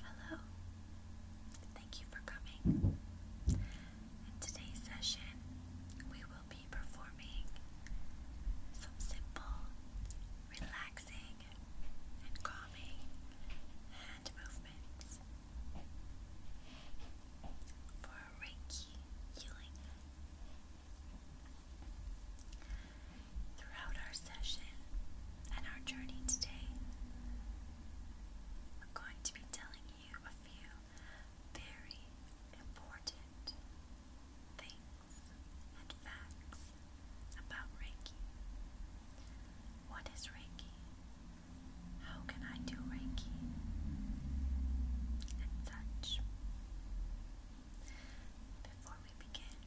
Hello, thank you for coming. In today's session, we will be performing some simple, relaxing, and calming hand movements for Reiki healing throughout our session and our journey today, I'm going to be telling you a few very important things and facts about Reiki. What is Reiki? How can I do Reiki? And such. Before we begin,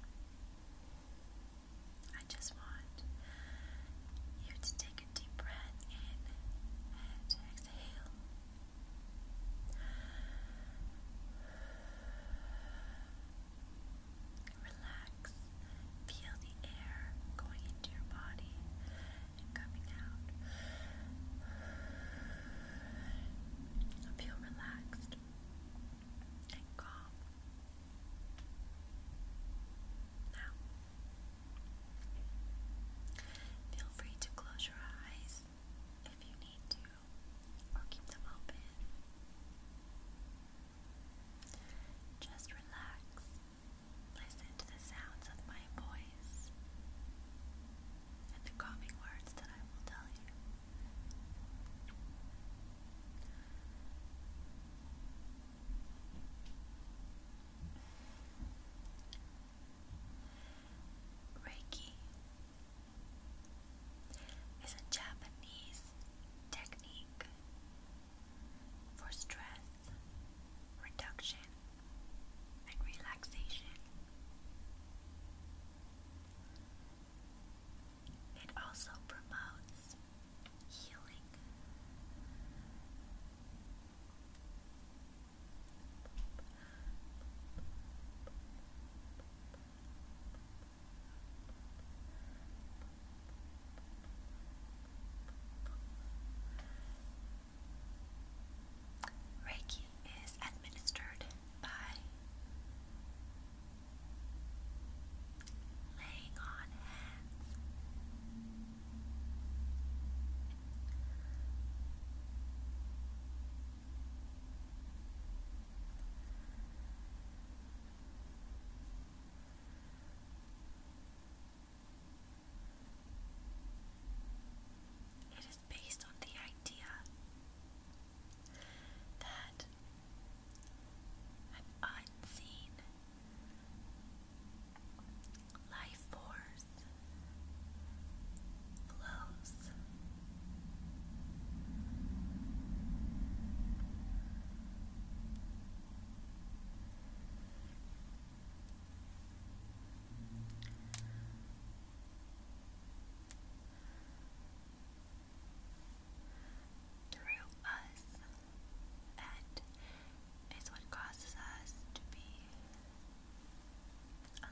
I just want you to take a deep breath in and exhale. Relax. Feel the air going into your body and coming out. Feel relaxed and calm. Now, feel free to close your eyes if you need to, or keep them open. Just relax, listen to the sounds of my voice and the calming words that I will tell you. Reiki is a Japanese technique for stress reduction and relaxation. It also promotes healing. Reiki is administered laying on hands. It is based on the idea that unseen life force flows through us and is what causes us to be alive.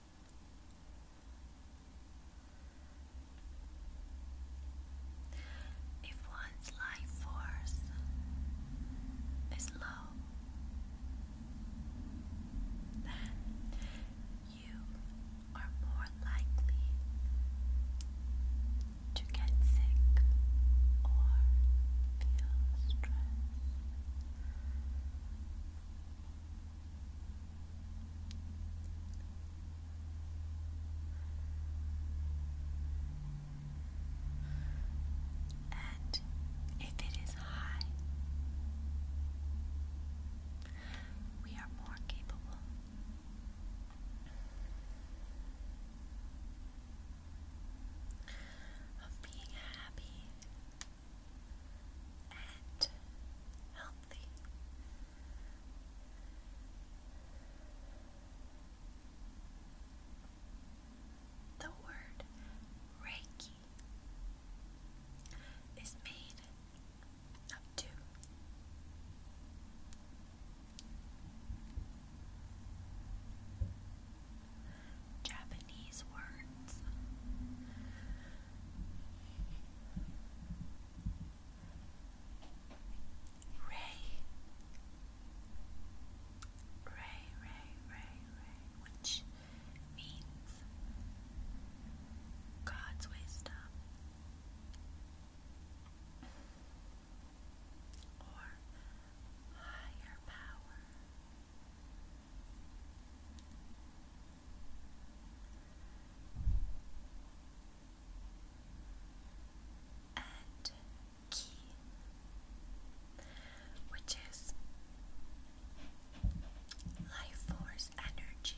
If one's life force is low, then you are more likely to get sick or feel stress. And if it is high, we are more capable. Of being happy and healthy. The word Reiki is made of two. Japanese word words. Ray. Ray, Ray, Ray, Ray, which means God's wisdom or higher power and key, which is life force energy.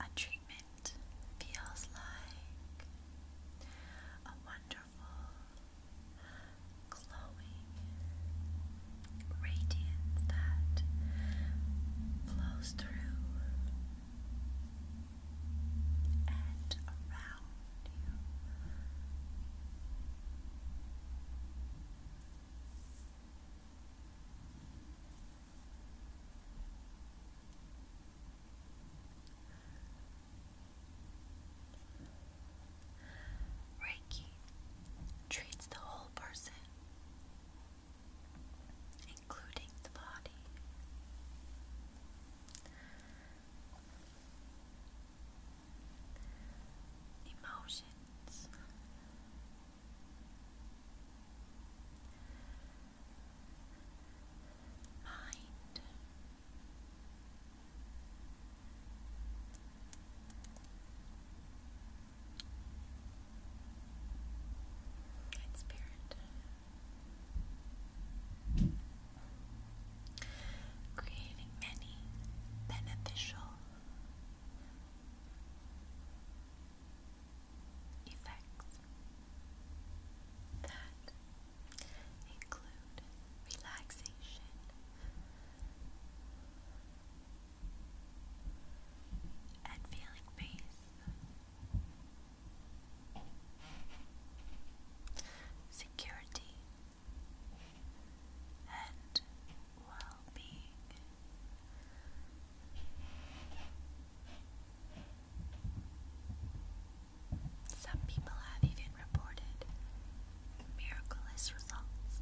A treatment feels like a wonderful glowing radiance that flows through and around you. Reiki treats the whole person, including the body. Emotions. Mind Good spirit. Creating many beneficial effects that include relaxation, and feeling peace, security, and well being. Some people have even reported miraculous results.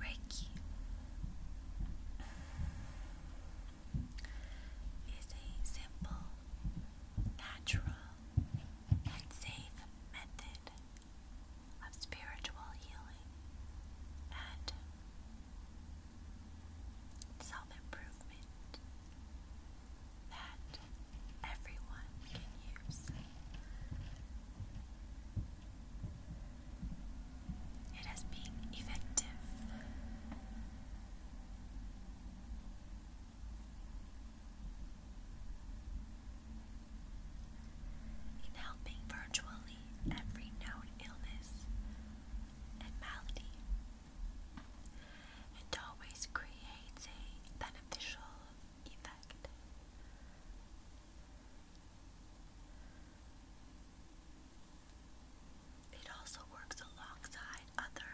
Reiki is a simple, natural, and safe method of spiritual healing and self improvement that everyone can use. It has been effective. In helping virtually every known illness and malady. It always creates a beneficial effect. It also works alongside other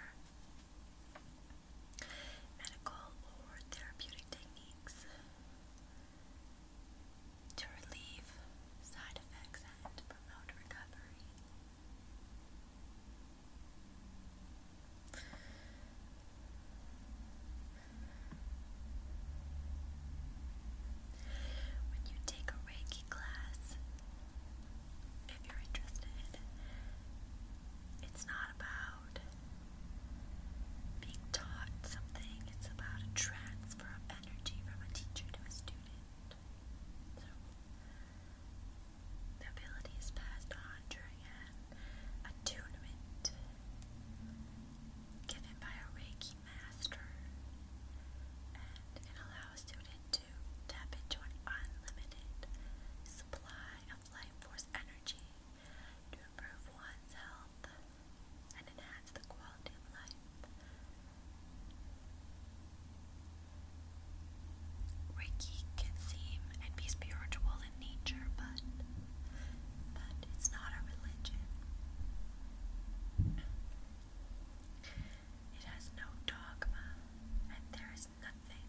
medical or therapeutic techniques to relieve side effects and promote recovery. When you take a Reiki class, if you're interested, it's not about being taught something, it's about a transfer of energy from a teacher to a student. the ability is passed on during an attunement given by a Reiki master, and it allows a student to tap into an unlimited supply of life force energy to improve one's health, and enhance the quality of life. Reiki can seem and be spiritual in nature, but but it's not a religion. It has no dogma, and there is nothing.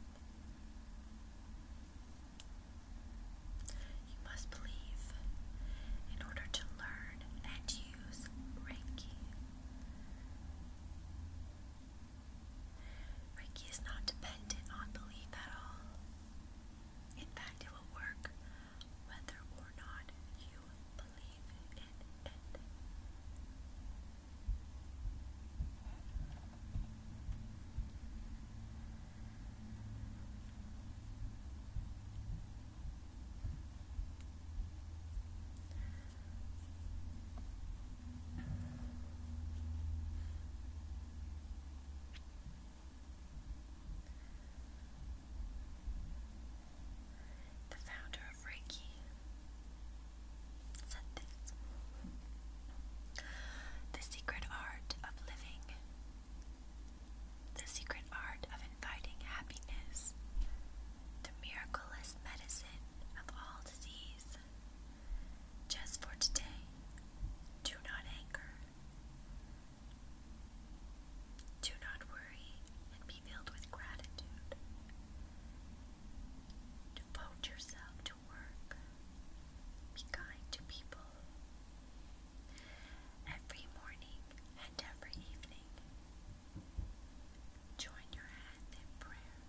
You must believe in order to learn and use Reiki. is not dependent on belief at all. In fact, it will work whether or not you believe it. The founder of Reiki said this The secret art of living the secret art of inviting happiness, the miraculous medicine of all disease. Just for today, do not anger, do not worry, and be filled with gratitude. Devote yourself to work, be kind to people. Every morning, and every evening. Join your hand in prayer.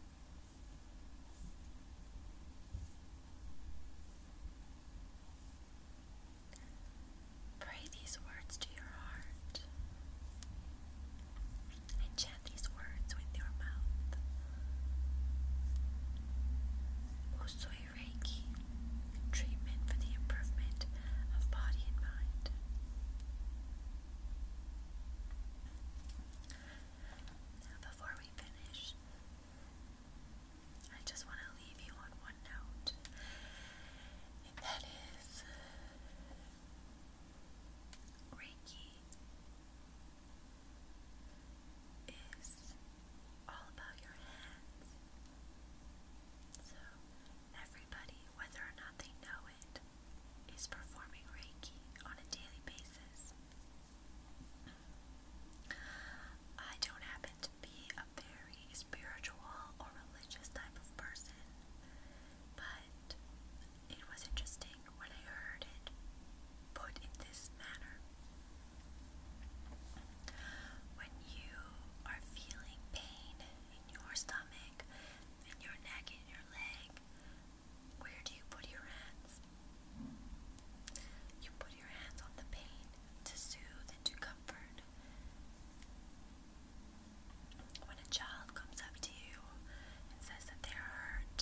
Pray these words to your heart and chant these words with your mouth. Whosoever Reiki treatment for the improvement of body and mind. before we finish, I just want to leave you on one note, and that is Reiki is all about your hands. So, everybody, whether or not they know it, is performing Reiki on a daily basis. I don't happen to be a very spiritual or religious type of person, but it was interesting when I heard it put in this manner. When you are feeling pain in your stomach, in your neck, in your leg, where do you put your hands? You put your hands on the pain to soothe and to comfort. When a child comes up to you and says that they're hurt,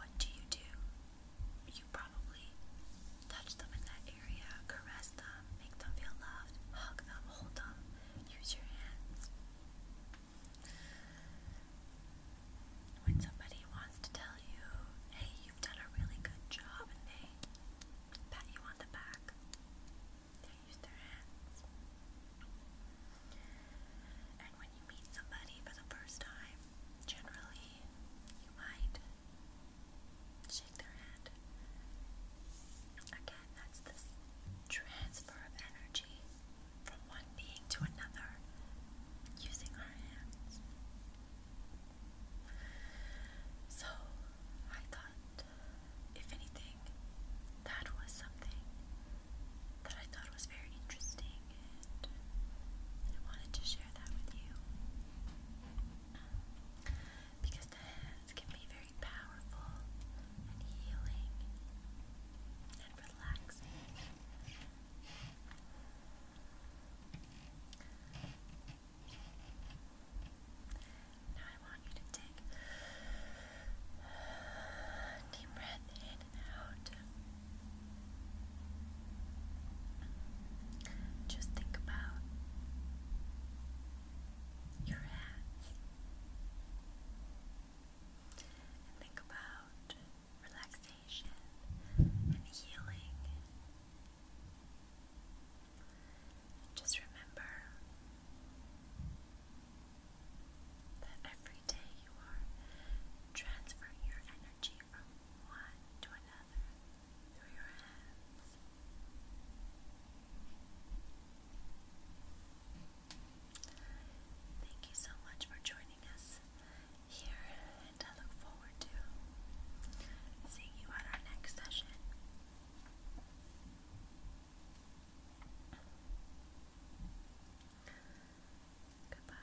what do you do? You probably Touch them in that area, caress them, make them feel loved, hug them, hold them, use your hands. When somebody wants to tell you, hey, you've done a really good job, and they pat you on the back, they use their hands. And when you meet somebody for the first time, generally you might shake their hand. Again, that's this transfer of energy from one being to another using our hands. So, I thought, if anything, that was something that I thought was very interesting, and I wanted to share that with you because the hands can be very powerful and healing and relaxing. Now I want you to take deep breath in and out. Just think about your hands. And think about relaxation and healing. Just remember that every day you are transferring your energy from one to another. Thank you so much for joining us here, and I look forward to seeing you at our next session. Goodbye.